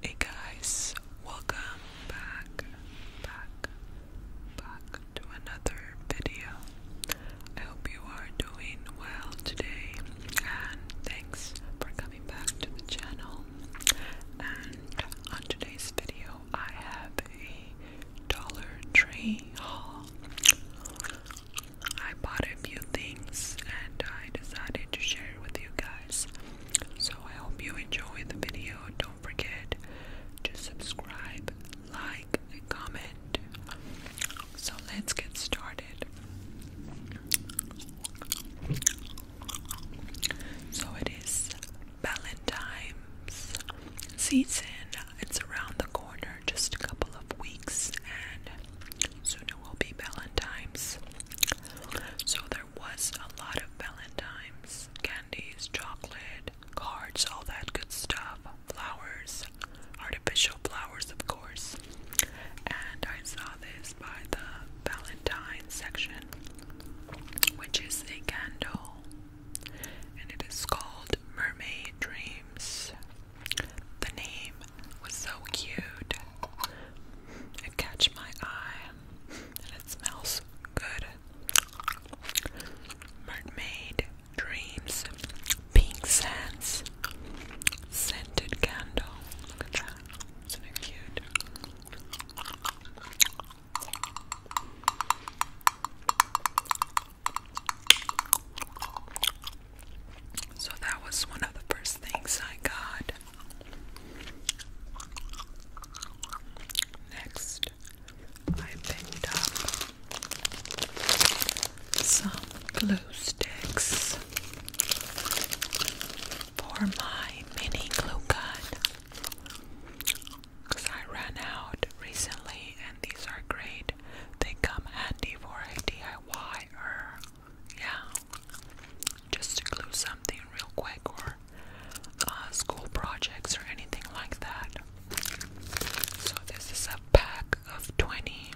Hey guys, welcome back, back, back to another video. I hope you are doing well today and thanks for coming back to the channel. And on today's video, I have a Dollar Tree haul. I bought a few things and I decided to share with you guys. So I hope you enjoy the video. Don't forget to subscribe, like, and comment. So let's get started. So it is Valentine's season. It's around the corner, just a couple of weeks, and Soon it will be Valentine's. So there was a lot of Valentine's candies, chocolate, cards, all that good stuff, flowers, artificial flowers, of course. And I saw this by the Valentine section, which is a candle, and it is called Mermaid Dreams the name was so cute. It catch my eye and it smells good. Mermaid Dreams Pink Sands Scented Candle. Look at that. Isn't it cute? So that was one of the first things I got. Next, I picked up some glue sticks for my mini glue gun because I ran out recently, and these are great. They come handy for a DIY yeah, just to glue something real quick or uh, school projects or anything like that. So, this is a pack of 20.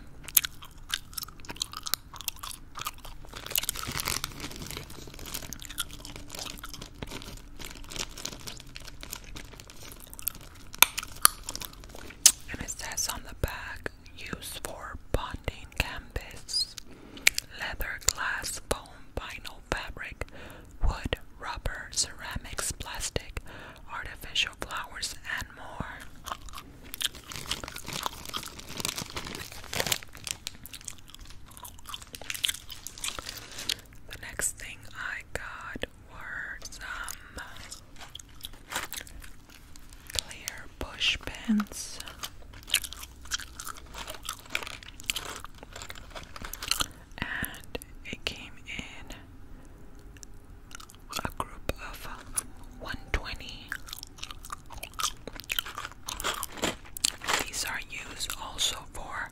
And it says on the back used for bonding canvas, leather, glass, foam, vinyl, fabric, wood, rubber, ceramics, plastic, artificial flowers, and more. The next thing I got were some clear bush pins, And it came in a group of 120. These are used also for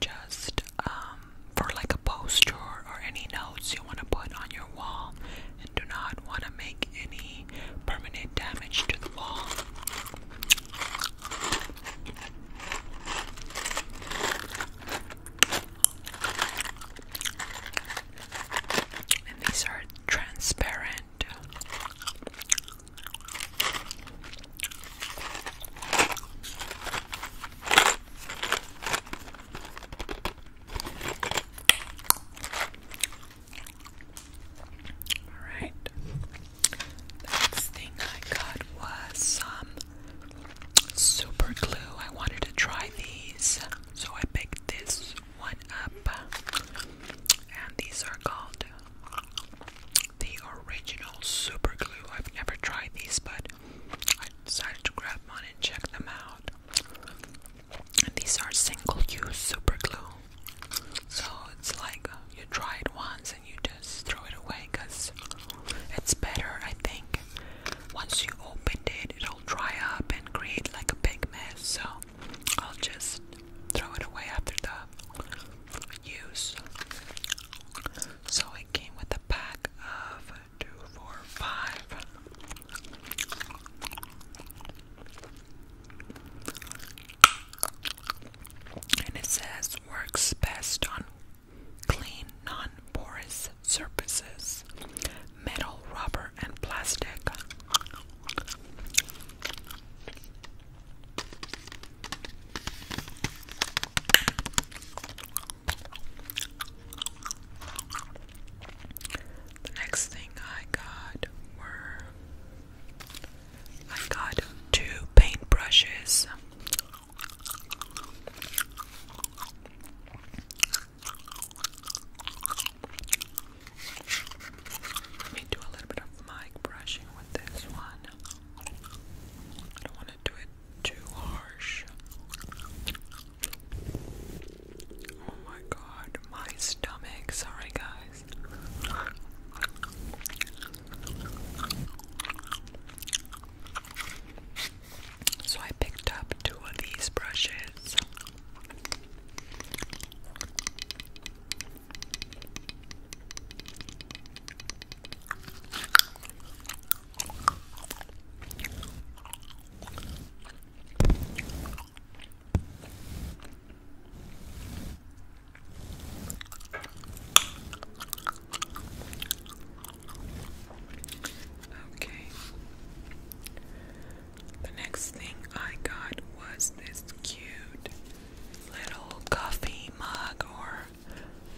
just um, for like a poster or any notes you want to put on your wall and do not want to make any permanent damage to the wall. And these are transparent. Alright. Next thing I got was some super glue. I wanted to try these, so I picked this one up. And these are called the original super glue. I've never tried these, but I decided to grab one and check them out these are single-use super glue, so it's like you try it once and you just throw it away because it's better. I think once you open it, it'll dry up and create like a big mess. So I'll just throw it away after the use. So it came with a pack of two, four, five and it says works best on clean, non porous surfaces metal, rubber, and plastic. The next thing I got were I got two paintbrushes. Let me do a little bit of mic brushing with this one. I don't want to do it too harsh. Oh my god, my stomach. Sorry, guys. So I picked up two of these brushes. Okay. The next thing I got was this cute little coffee mug or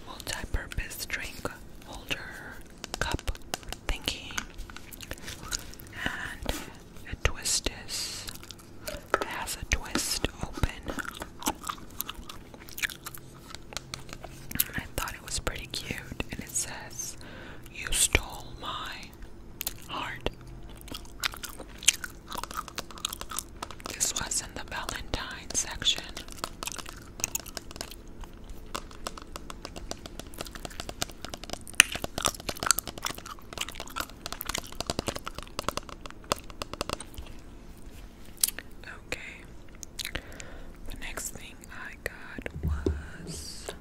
multi purpose drink holder cup thingy. And it twist is has a twist open. I thought it was pretty cute and it says you stole my heart. This was in the Valentine section. Okay. The next thing I got was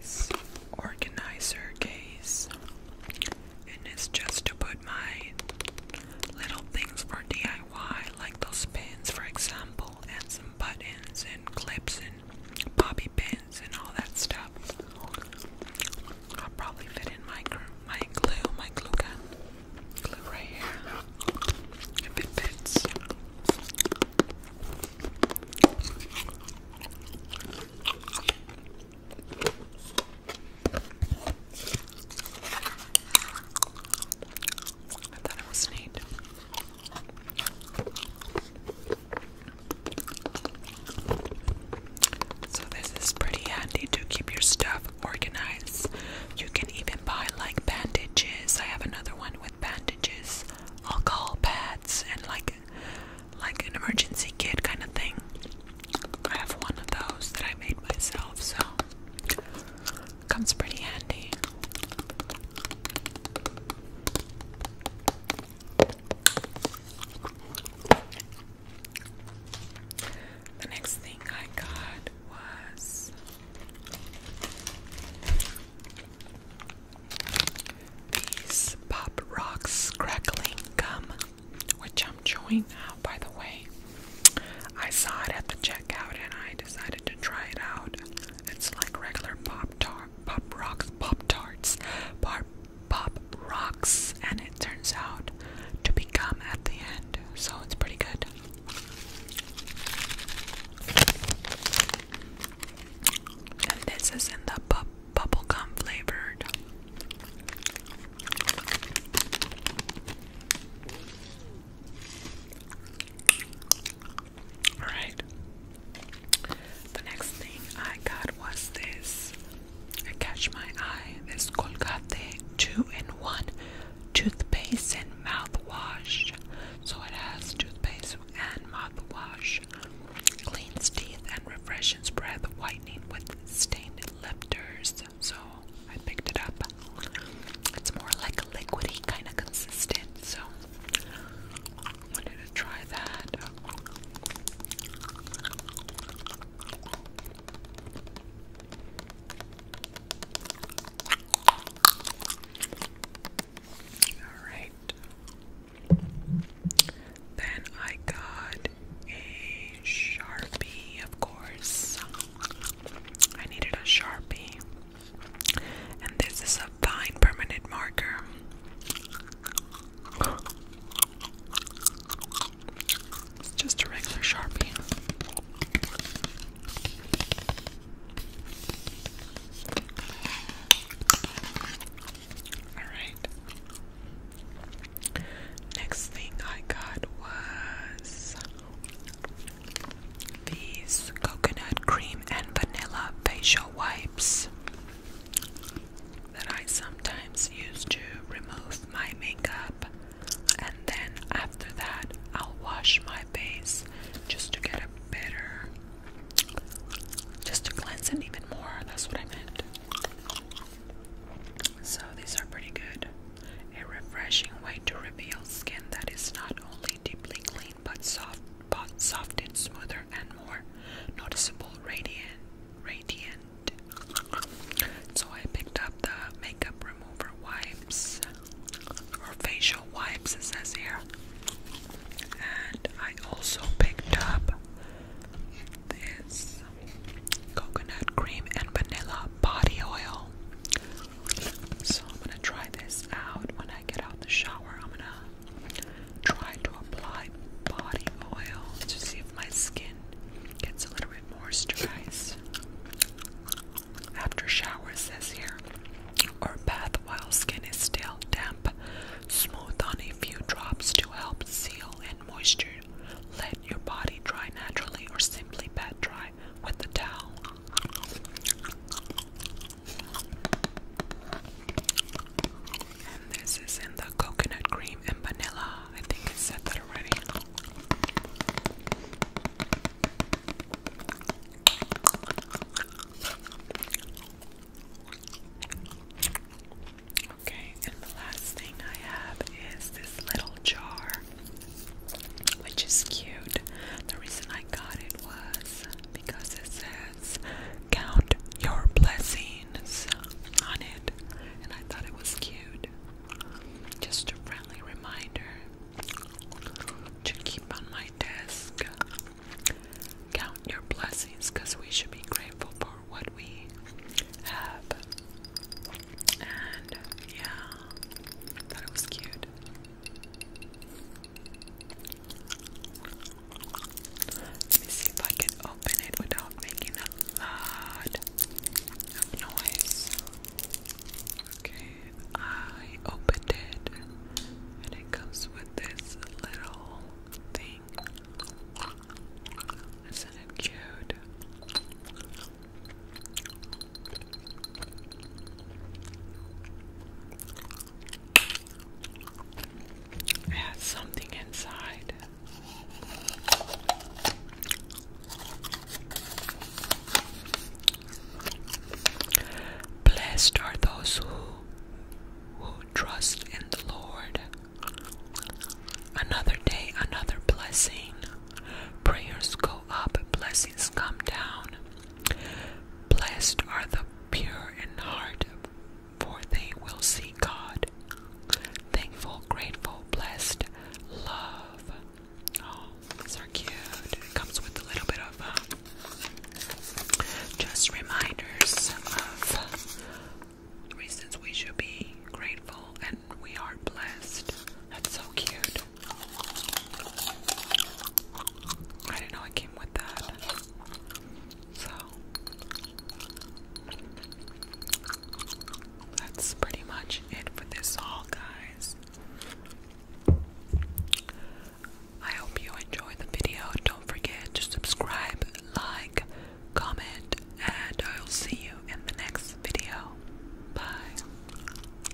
this organizer case. And it's just to put my little things for DIY, like those pins, for example, and some buttons and clips and bobby pins and all that stuff. I'll probably fit in my my glue, my glue gun, glue right here if it I thought it was neat. So, this is pretty handy to keep your stuff organized. You can even buy like bandages. I have another one with bandages, alcohol pads, and like like an emergency kit kind of thing. I have one of those that I made myself, so comes pretty handy. The next thing I got was these Pop Rocks crackling gum, which I'm chewing now, by the way. I saw it at the checkout and I decided to try it out. It's like regular pop tart, pop rocks, pop tarts, pop pop rocks, and it turns out to become at the end. So it's pretty good. And this is in the bubble gum flavored. Alright. The next thing I got was this. I catch my eye. This Colgate 2-in-1 toothpaste and mouthwash. So it has toothpaste and mouthwash. Cleans teeth and refreshes breath, whitening with stained lifters. So I picked it up. It's more like a liquidy kind of consistent, so wanted to try that. Alright. Then I got a Sharpie, of course. I needed a Sharpie. And this is a fine permanent marker. just a regular Sharpie. Alright. Next thing I got was these coconut cream and vanilla facial wipes that I sometimes use to remove my makeup, and then after that, I'll wash my face just to get a better, just to cleanse it even more. That's what I meant. So, these are pretty good. A refreshing way to reveal skin that is not only deeply clean but soft, but softened, smoother, and more noticeable radiant. Radiant. So I picked up the makeup remover wipes or facial wipes, it says here. And I also picked up this coconut cream and vanilla body oil. So I'm gonna try this out when I get out the shower. I'm gonna try to apply body oil to see if my skin gets a little bit moisturized. After shower says here, or bath while skin is still damp, smooth on a few drops to help seal in moisture. Let your body dry naturally or simply pat dry with the towel. And this is in the coconut cream and vanilla. I think I said that already. Okay, and the last thing I have is this little jar which is cute. The reason I got it was because it says count your blessings on it, and I thought it was cute. Just a friendly reminder to keep on my desk. Count your blessings because we should be grateful for what we have. And yeah, thought it was cute. Let me see if I can open it without making a lot of noise. Okay, I opened it and it comes with this little thing. Isn't it cute? has something inside. Blessed are those who who trust in the Lord. Another day, another blessing. Prayers go up, blessings come down. Blessed are the pure in heart, for they will see God. Thankful, grateful, blessed, love. Oh, these are cute. comes with a little bit of um, just reminders of reasons we should be grateful and we are blessed. That's so cute. I didn't know it came with that. So that's pretty much it for this haul, guys. I hope you enjoyed the video. Don't forget to subscribe, like, comment, and I'll see you in the next video. Bye.